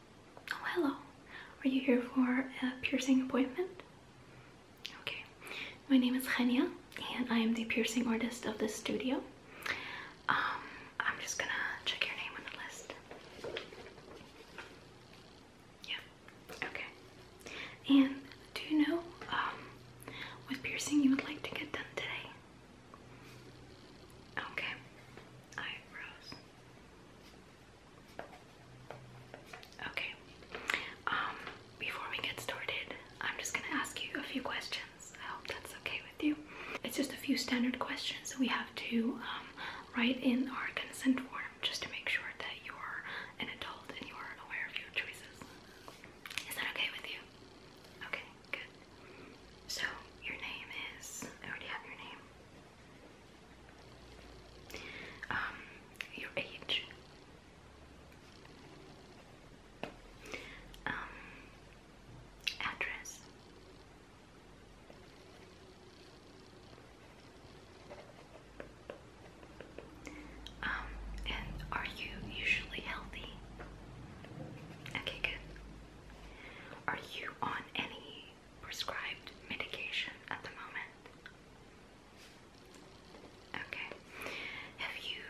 Oh, hello. Are you here for a piercing appointment? Okay. My name is Genia, and I am the piercing artist of this studio. Um, I'm just gonna check your name on the list. Yeah. Okay. And do you know um, what piercing you would like to get done today? Okay. Eyebrows. Okay. Um, before we get started, I'm just gonna ask you a few questions. I hope that's okay with you. It's just a few standard questions that we have to um, write in our consent form just to make sure that you're an adult and you're aware of your choices. Is that okay with you? Okay, good. So your name is I already have your name. Um, your age. Um, address. Um, and are you usually healthy? Okay, good. Are you on any prescribed medication at the moment? Okay. Have you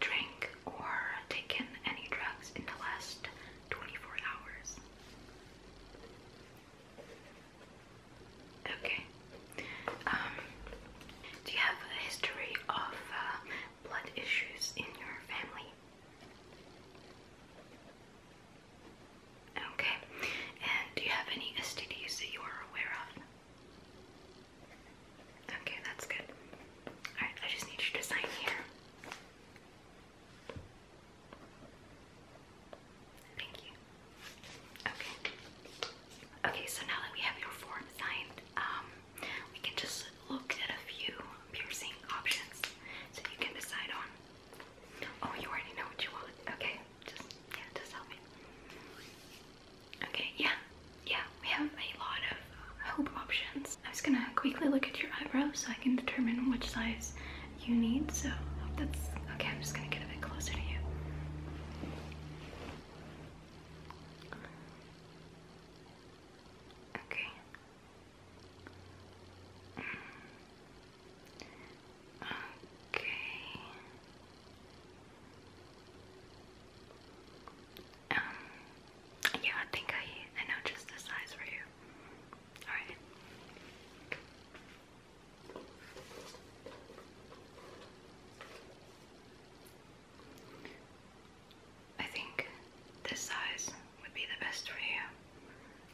drank or taken any drugs in the last 24 hours? Okay. Um, do you have a history of uh, blood issues in your family? Okay. And do you have any STDs that you are aware of? Okay, that's good. Alright, I just need you to sign here. Thank you. Okay. Okay, so now that we have your form signed, um, we can just look at a few piercing options so you can decide on. Oh, you already know what you want. Okay, just Okay, yeah, yeah, we have a lot of uh, hope options. I was gonna quickly look at your eyebrows so I can determine which size you need. So that's okay. I'm just gonna get a bit closer to you. Okay. Okay. Um. Yeah, I think I I know just the size for you. All right. I think this size would be the best for you.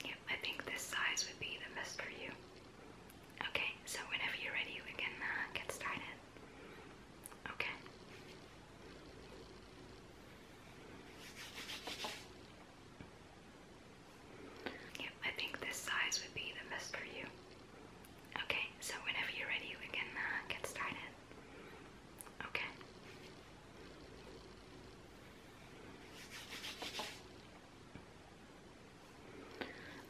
Yep, I think this size would be the best for you. Okay, so whenever you're ready, we can uh, get started. Okay. Yep, I think this size would be the best for you. Okay, so whenever you're ready, we can uh, get started. Okay.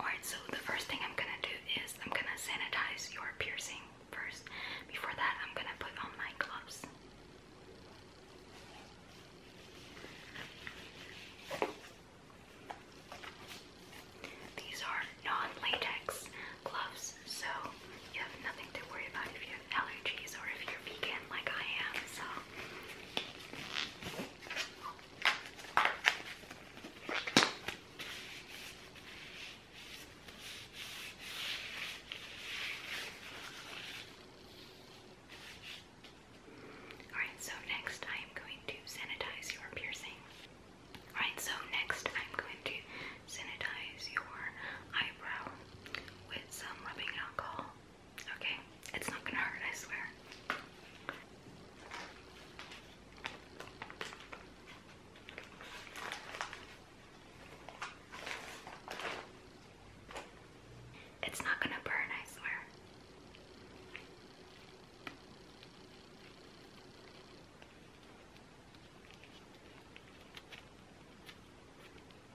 Alright, so the first thing I'm gonna do is I'm gonna sanitize your piercing first. Before that, I'm gonna put on my gloves. These are non latex gloves, so you have nothing to worry about if you have allergies or if you're vegan like I am, so Alright, so next I am going to sanitize your piercing. Alright, so next I'm going to sanitize your eyebrow with some rubbing alcohol. Okay? It's not gonna hurt, I swear. It's not gonna burn, I swear.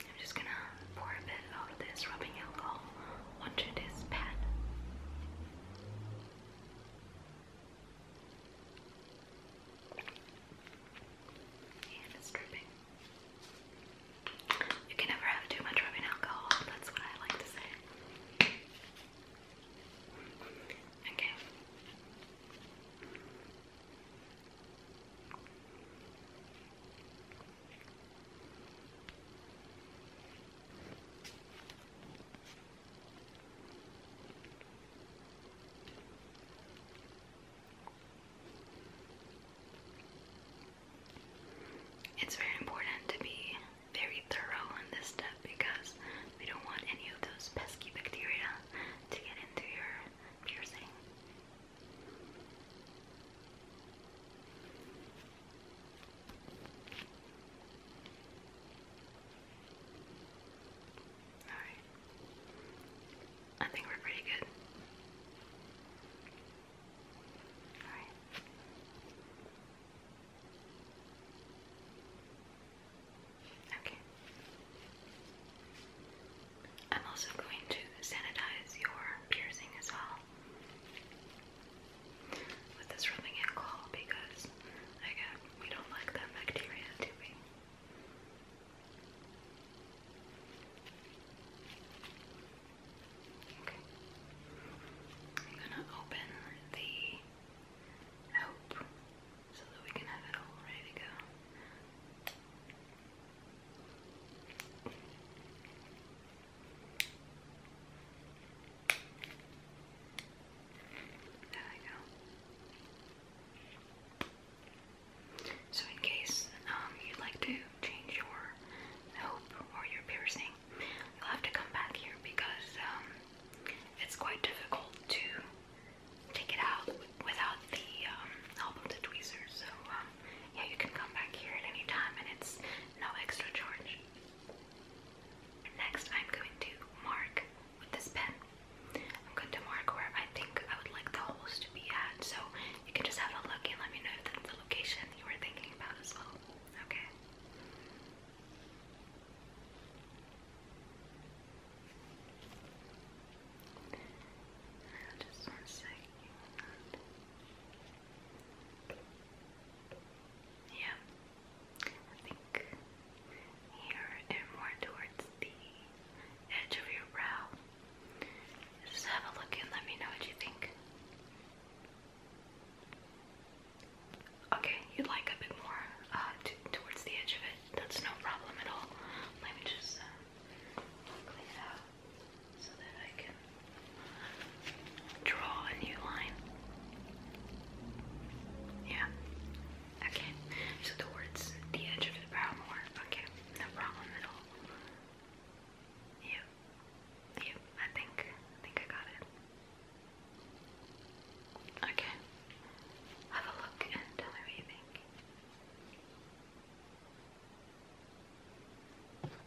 I'm just gonna pour a bit of this rubbing alcohol onto this pad. it's dripping. You can never have too much rubbing alcohol, that's what I like to say. Okay. It's very important to be very thorough on this step because we don't want any of those pesky bacteria to get into your piercing. Alright. I think we're pretty good. Alright. Okay. I'm also going to sanitize your piercing as well with this rubbing alcohol because again uh, we don't like that bacteria, do we? I'm gonna open the hoop so that we can have it all ready to go. So, in case um, you'd like to change your hope or your piercing, you'll have to come back here because um, it's quite difficult to take it out without the um, help of tweezers. So, yeah, you can come back here at any time and it's no extra charge. Next, I'm going to mark with this pen. I'm going to mark where I think I would like the holes to be at, so you can just have a look and let me know if that's the location you were thinking about as well. Okay. Just one second. Yeah, I think here and more towards the edge of your brow. Just have a look and let me know what you think. Okay, you like a bit more uh, towards the edge of it. That's no problem at all. Let me just uh, clean draw a new line. Yeah. Okay. So the the edge of the brow more. Okay. No problem at all. Yeah. Yeah. I think I think I got it. Okay. Have a look and tell me what you think.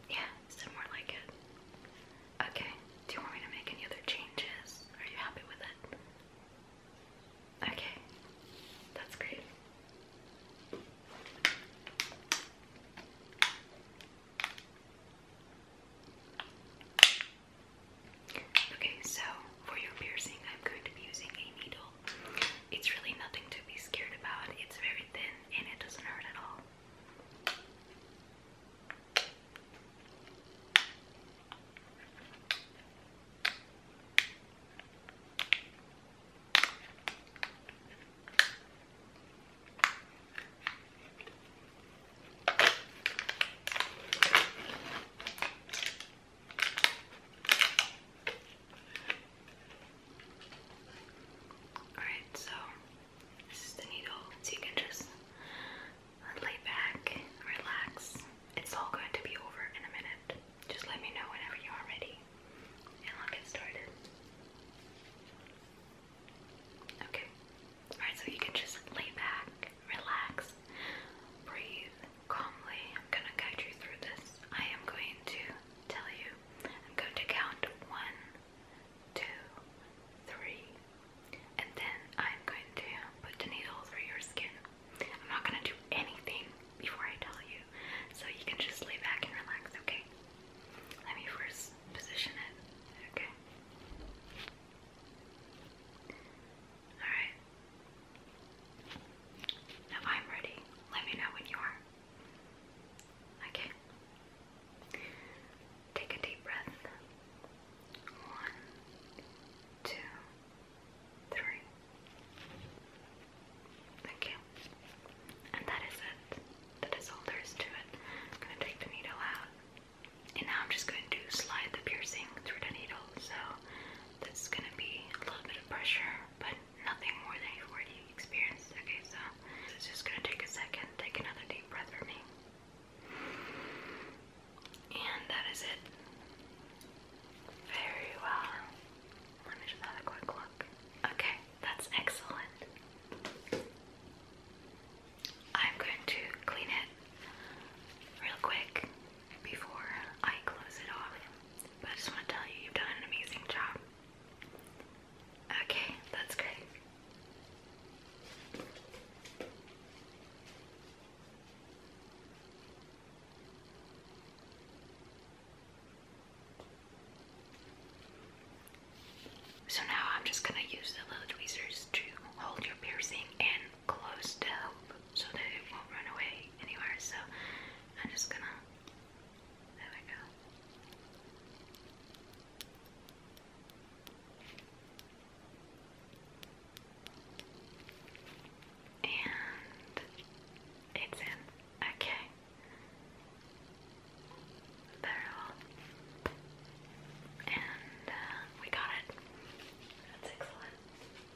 Yeah, it's more like it. Okay, do you want me to make any other changes? Are you happy with it? Okay, that's great. Okay, so for your piercing, I'm going to be using a needle it's really nothing to be scared about. It's very thin and it doesn't hurt at all. Alright, so this is the needle, so you can just lay back, relax. It's all going to be over in a minute. Just let me know whenever you are ready, and I'll get started. Okay. Alright, so you can just lay back, relax, breathe, calmly. I'm going to guide you through this. I am going to tell you. I'm going to count one, two, three, and then I'm going to put the needle through your skin. I'm not going to do anything before I tell you, so you can just lay back and relax, okay? Let me first position it, okay? Alright, if I'm ready, let me know when you are. Okay. Take a deep breath. One, two, three. Okay. And that is it. That is all there is to it. I'm going to take the needle out. And now I'm just going to slide the piercing through the needle. So that's going to be a little bit of pressure, but nothing more than you've already experienced. Okay, so it's just gonna take a second. Take another deep breath for me. And that is it. Very well. Let me just have a quick look. Okay, that's excellent. I'm going to clean it real quick before I close it off. I just want to tell you, you've done an amazing job. Okay, that's great. So now I'm just going to use the little tweezers to hold your piercing and close the hoop so that it won't run away anywhere. So I'm just going to there we go. And it's in. Okay. Very well. And uh, we got it. That's excellent.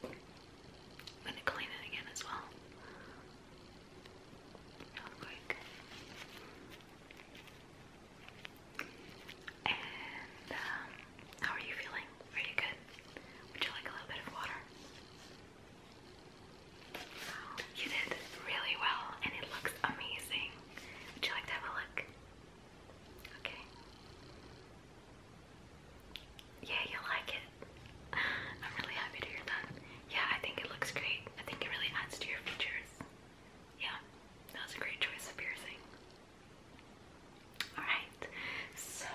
I'm gonna clean it again as well real um, how are you feeling? Are you good? Would you like a little bit of water? You did really well and it looks amazing. Would you like to have a look? Okay. Yeah, you like it. I'm really happy to hear that. Yeah, I think it looks great. I think it really adds to your features. Yeah, that was a great choice of piercing. Alright, so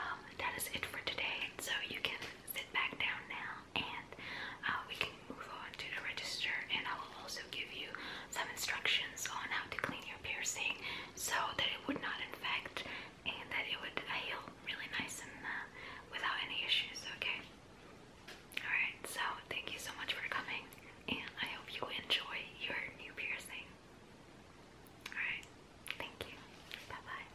um, that is it for today. So you can sit back down now and uh, we can move on to the register and I will also give you some instructions on how to clean your piercing so that it would not infect and that it would heal really nice and uh, without any issues, okay? Alright, so thank you so much for coming, and I hope you enjoy your new piercing. Alright, thank you. Bye bye.